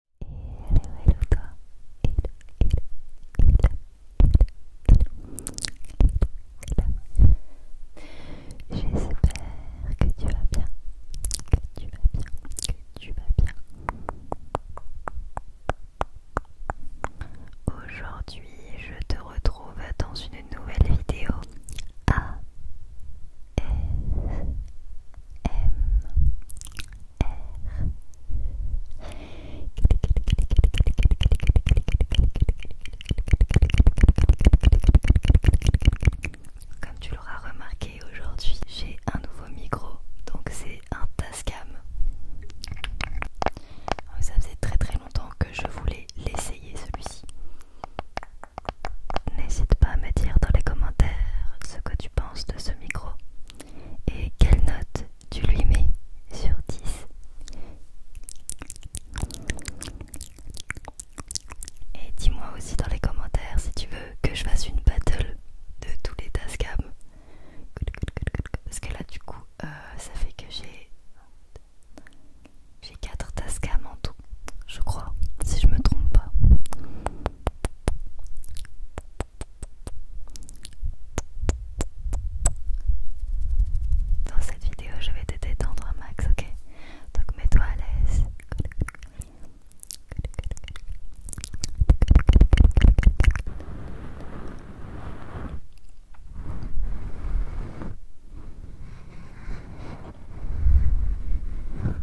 hello, hello toi Hello, hello, hello, J'espère que tu vas bien, que tu vas bien, que tu vas bien. Aujourd'hui, je te retrouve dans une nouvelle vidéo A S comme tu l'auras remarqué aujourd'hui, j'ai un nouveau micro, donc c'est un Tascam. Ça faisait très très longtemps que je voulais l'essayer celui-ci. N'hésite pas à me dire dans les commentaires ce que tu penses de ce micro. Et quelle note tu lui mets sur 10 Et dis-moi aussi dans les commentaires si tu veux que je fasse une battle de tous les tascams. Parce que là du coup euh, ça fait que j'ai j'ai 4 tascams en tout, je crois, si je me trompe pas. Dans cette vidéo, je vais te détendre un max, ok Donc mets-toi à l'aise.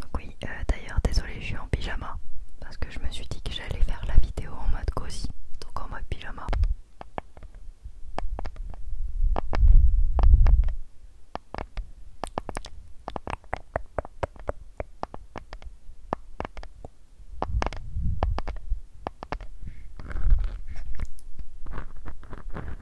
Donc oui, euh, d'ailleurs désolé je suis en pyjama parce que je me suis dit que j'allais faire la vidéo en mode cosy, donc en mode pyjama.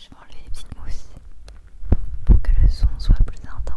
Je vais enlever les petites mousses pour que le son soit plus intense.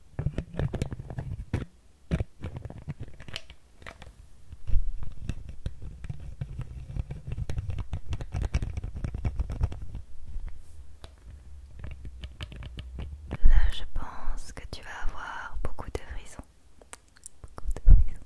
Là, je pense que tu vas avoir beaucoup de frissons. Beaucoup de frissons.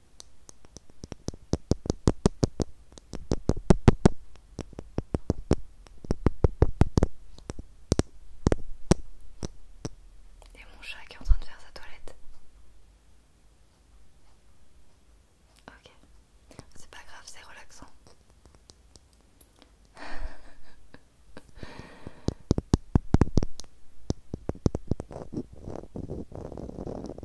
Et mon chat qui est en train de faire sa toilette. Ok, c'est pas grave, c'est relaxant.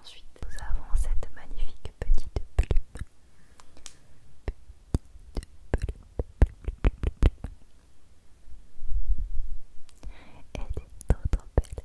ensuite nous avons cette magnifique petite plume. Elle est trop belle, trop belle.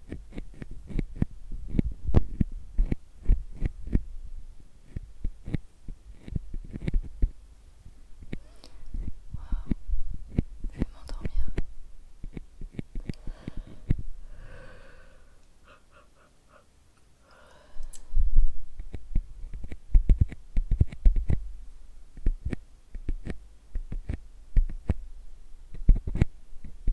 Wow. Je vais m'endormir. Wow.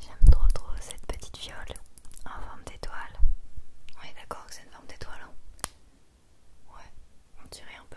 J'aime trop trop cette petite viole en forme d'étoile. On est d'accord que c'est une forme d'étoile, hein Ouais, on dirait un peu.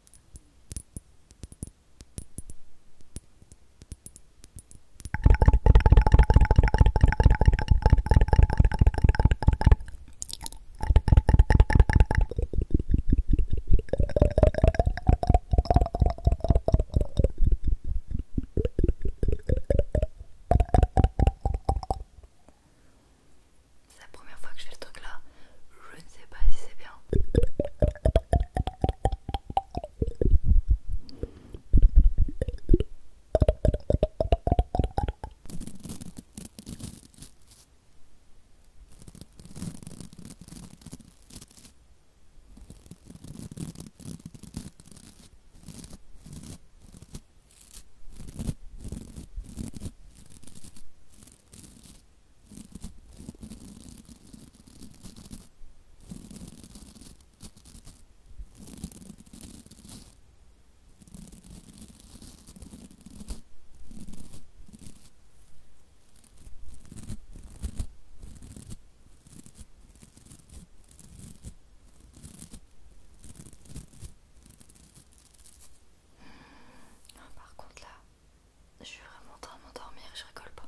C'est la première fois que je fais le truc là. Je ne sais pas si c'est bien. Par contre là, je suis vraiment en train de m'endormir, je rigole pas.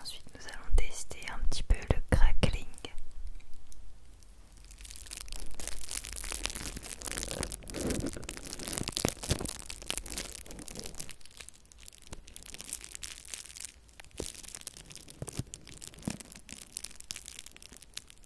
Ensuite, nous allons tester un petit peu le crackling.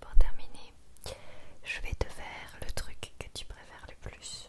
Pour terminer, je vais te faire le truc que tu préfères le plus.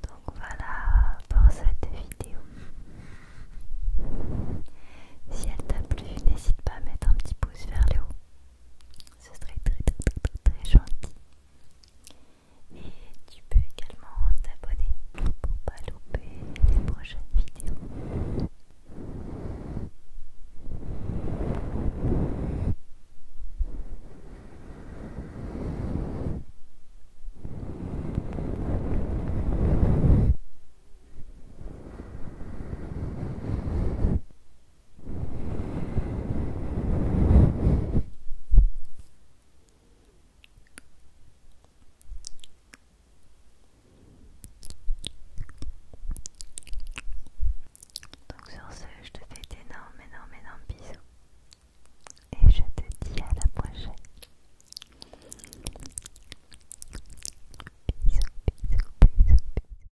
Donc voilà pour cette vidéo. Si elle t'a plu, n'hésite pas à mettre un petit pouce vers le haut ce serait très très très très gentil. Et tu peux également t'abonner pour pas louper les prochaines vidéos. Donc sur ce, je te fais d'énormes, énormes, énormes bisous. Et je te dis à la prochaine. Bisous, bisous, bisous,